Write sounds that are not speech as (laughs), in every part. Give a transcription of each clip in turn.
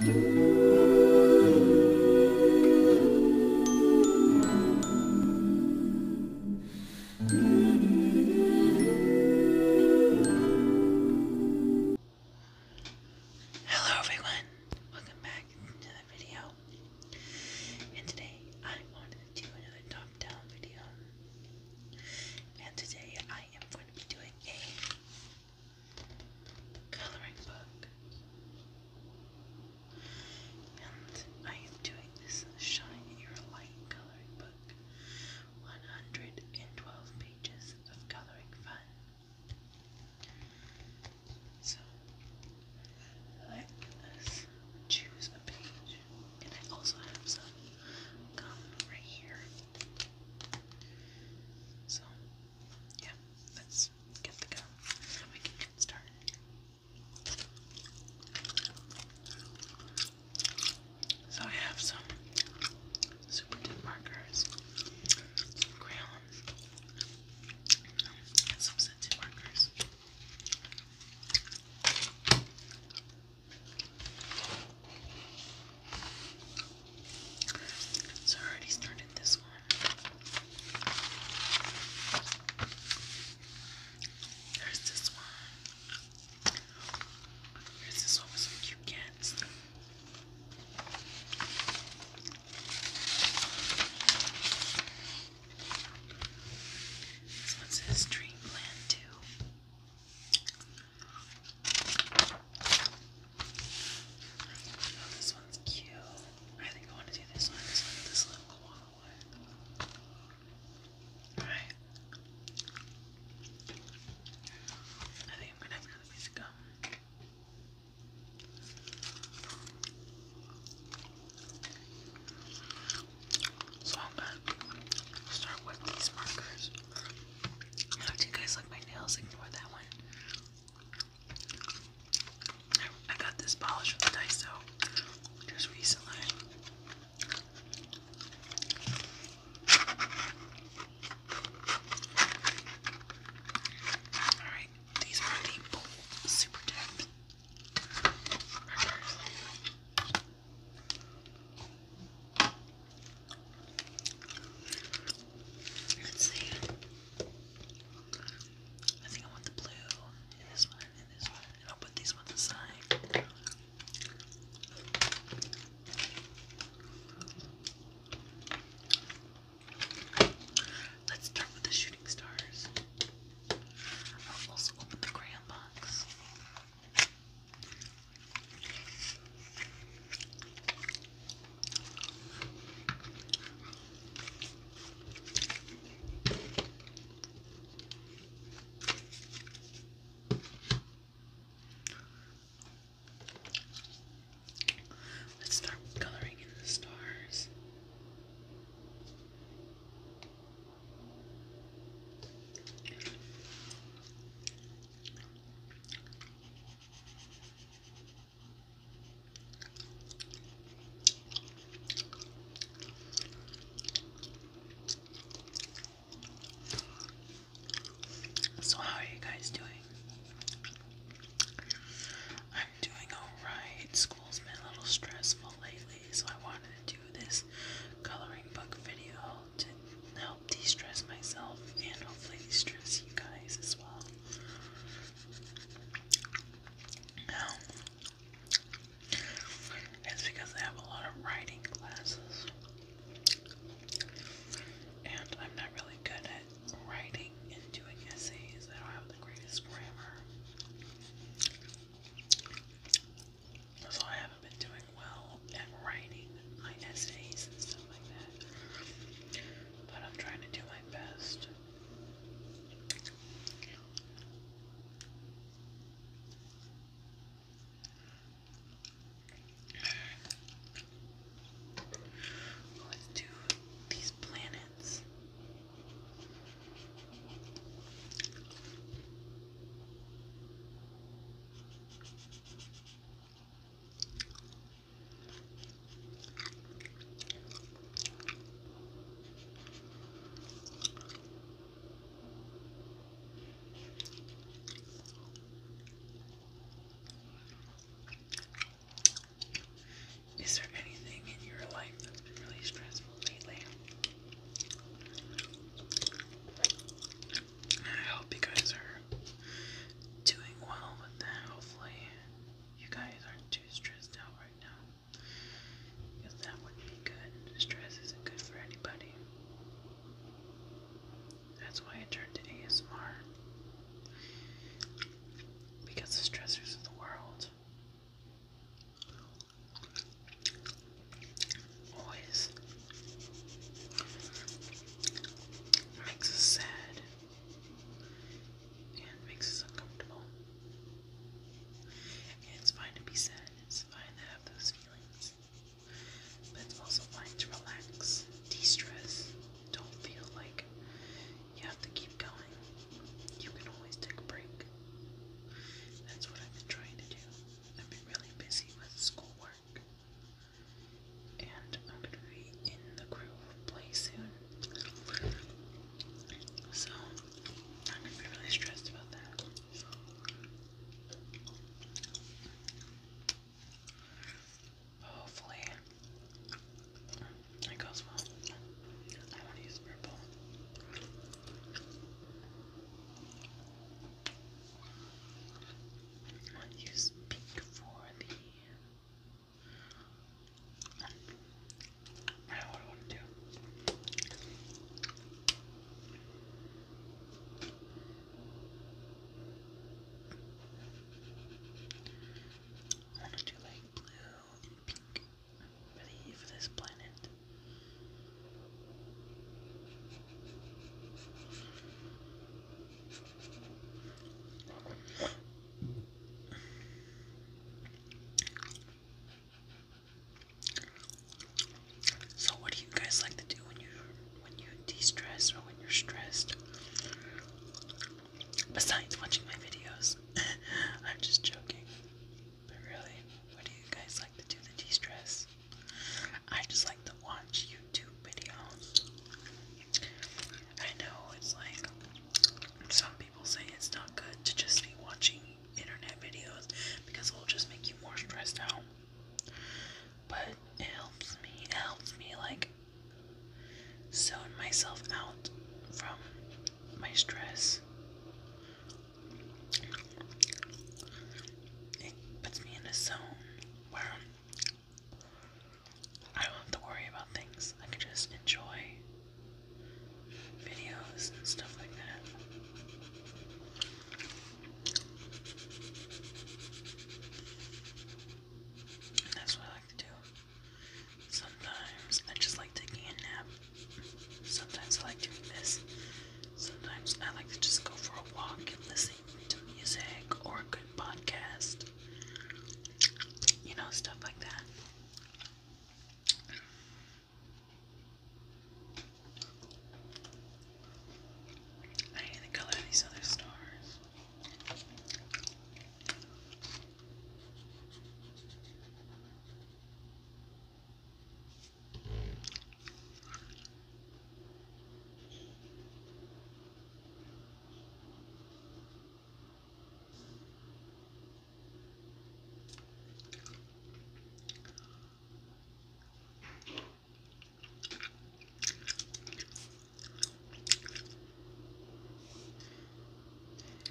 Hello everyone, welcome back to another video. And today I wanted to do another top-down video. And today I am going to be doing a coloring book. And I am doing this Shine Your Light coloring book. 112 pages of coloring fun. So let us choose a page. And I also have some gum right here. So yeah, let's get the gum so we can get started. So I have some super tip markers, some crayons, and some scented markers. So I already started this one. There's this one. There's this one with some cute cats. This one says Dreamland too. Oh, this one's cute. I think I want to do this one. This one, this little koala Alright. I think I'm gonna have another gum. So i start with these markers. Now, do you guys like my nails? Ignore that one. I got this polish from Daiso just recently. Alright, these are the bold super tip Let's see. I think I want the blue and this one and this one. And I'll put these ones aside. Let's start with the shooting stars. I'll also open the crayon box. Let's start coloring in the stars. So, how are you guys doing? I'm doing alright. School's been a little stressful lately, so I wanted to do this coloring book video to help de stress myself and hopefully de stress you guys as well. Now, it's because I have a lot of writing classes, and I'm not really good at writing and doing essays. I don't have the greatest grammar. So I haven't been doing well and writing my essays and stuff like that. But I'm trying to do my best. Let's do these planets. Is there anything in your life that's been really stressful lately? I hope you guys are doing well with that. Hopefully, you guys aren't too stressed out right now. Because that wouldn't be good. Stress isn't good for anybody. That's why I turned to ASMR. Because the stressors of the world always Makes us sad and makes us uncomfortable. it's fine to be sad, it's fine to have those feelings. But it's also fine to relax, de stress. Don't feel like you have to keep going. You can always take a break. That's what I've been trying to do. I've been really busy with schoolwork and I'm going to be in the groove play soon. So, I'm going to be really stressed about that. Hopefully, it goes well. I want to use purple. What you speak for thee. I want to do. I want to do like blue and pink for, for this planet. So what do you guys like to do when you when you de-stress or when you're stressed? Besides watching my videos. (laughs) I'm just joking. But really, what do you guys like to do to de-stress? I just like to watch YouTube videos. I know it's like some people say it's not good to just be watching internet videos because it'll just make you more stressed out. But it helps me, helps me like zone myself out from my stress. It puts me in a zone where I don't have to worry about things. I can just enjoy videos and stuff like that. that's what I like to do. Sometimes I just like taking a nap. Sometimes I like doing this. Sometimes I like to just go for a walk and listen to music or podcast, you know, stuff like that. I hate the color of these other stars.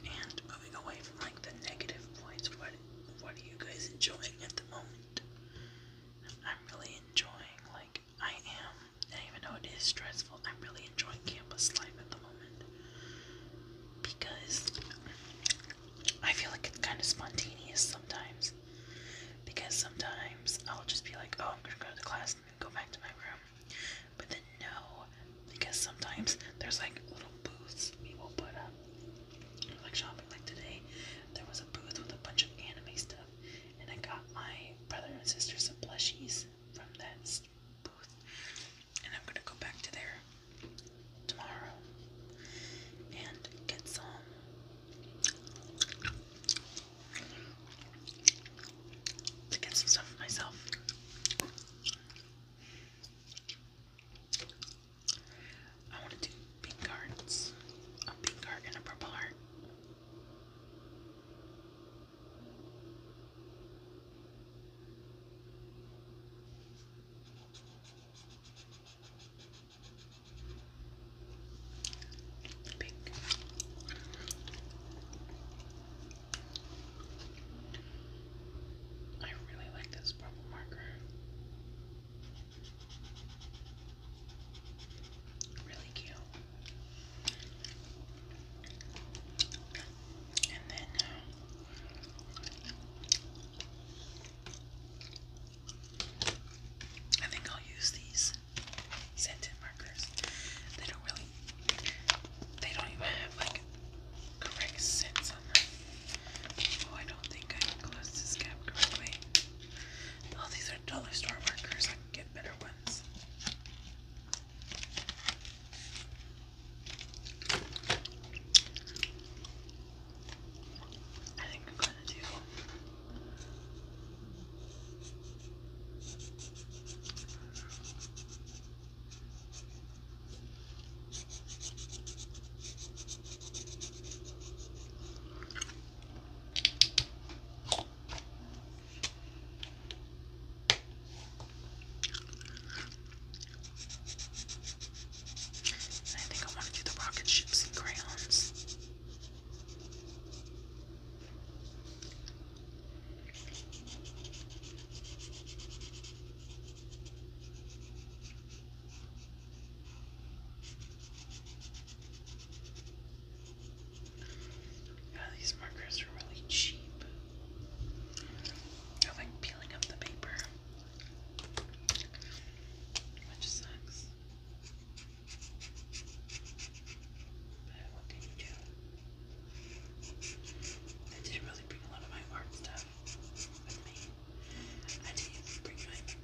And moving away from like the negative points, what what are you guys enjoying at the moment? I'm really enjoying like I am, and even though it is stressful, I'm really enjoying campus life at the moment because I feel like it's kind of spontaneous sometimes. Because sometimes I'll just be like, oh, I'm gonna go to class and go back to my room. But then, no, because sometimes there's like little booths we will put up. Like shopping, like today, there was a booth with a bunch of anime stuff. And I got my brother and sister some plushies from that booth. And I'm gonna go back to there tomorrow and get some. To get some stuff for myself. I want to do pink hearts. A pink heart and a purple heart. Pink. I really like this purple marker. Really cute. And then uh, I think I'll use these scented markers. They don't really they don't even have like correct scents on them. Oh I don't think I can this cap correctly. Oh these they're dollar store workers. I can get better ones. I think I'm gonna do. I think I want to do the rocket ships and crayons. Yeah, these markers are really cheap. I like peeling up the paper, which sucks. But what can you do? I didn't really bring a lot of my art stuff with me. I didn't bring my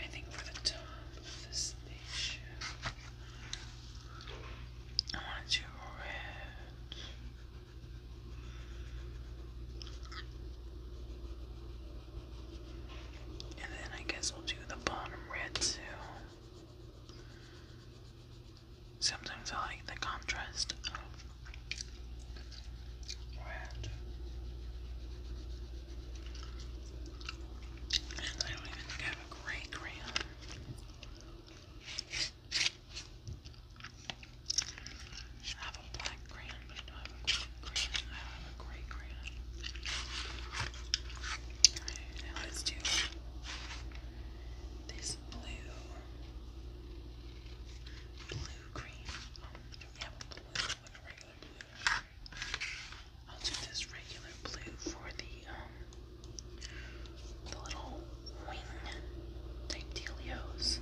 I think for the top of this station, I want to red. And then I guess we'll do the bottom red too. Sometimes I like the contrast brand. And I don't even have a gray crayon. I have a black crayon, but I don't have a green I don't have a gray crayon. Alright, now let's do this blue, blue cream. Yeah, I'll do this regular blue for the um the little wing type dealios.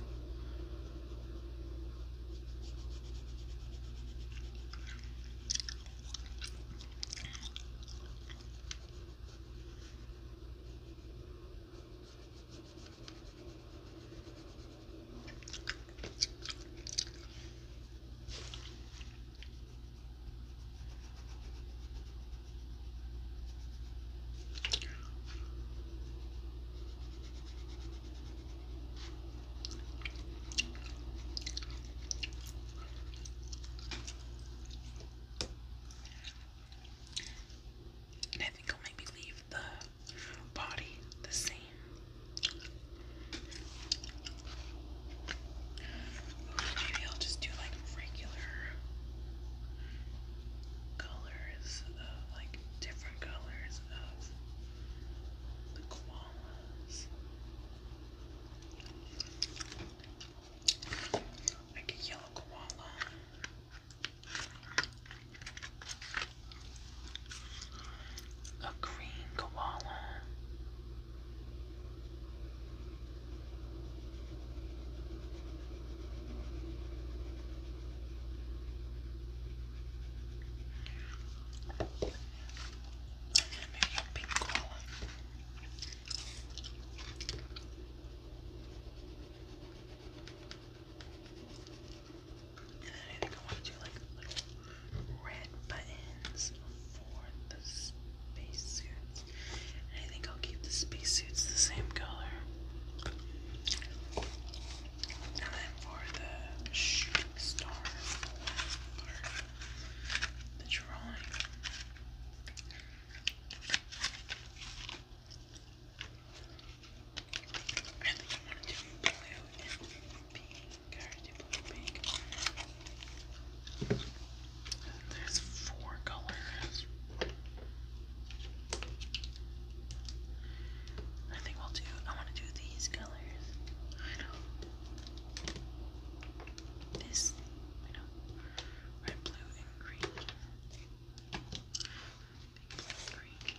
And I think I'll maybe leave the body the same. Maybe I'll just do like regular colors of like different colors of the koalas. Like a yellow koala. A green koala. a pink koala. I think I want to do like little red buttons for the spacesuits. I think I'll keep the spacesuits the same color. And then for the shooting star, the drawing. I think I want to do blue and pink. There's four colors. I think we'll do, I want to do these colors. This, I know. Red, blue, and green. Pink, and green.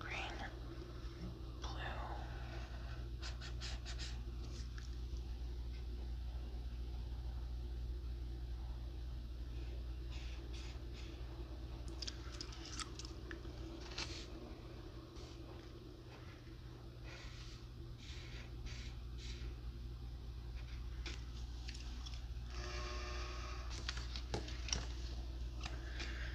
green, blue.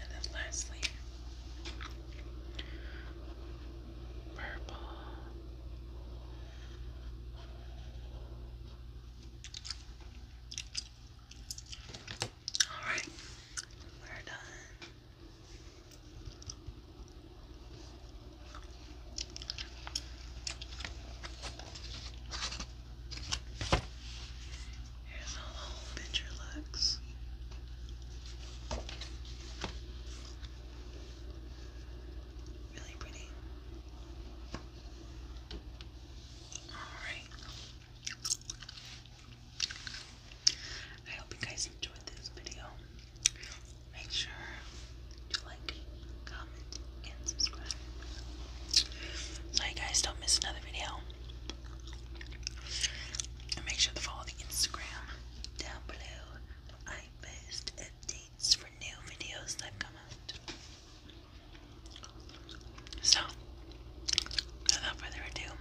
And then lastly, purple. All right, we're done. Here's how the whole picture looks. Really pretty. Alright. I hope you guys enjoyed this video make sure to like, comment, and subscribe. So you guys don't miss another video. make sure to follow the Instagram down below. I post updates for new videos that come out. So, without further ado,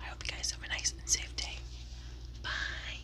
I hope you guys have a nice and safe day. Bye.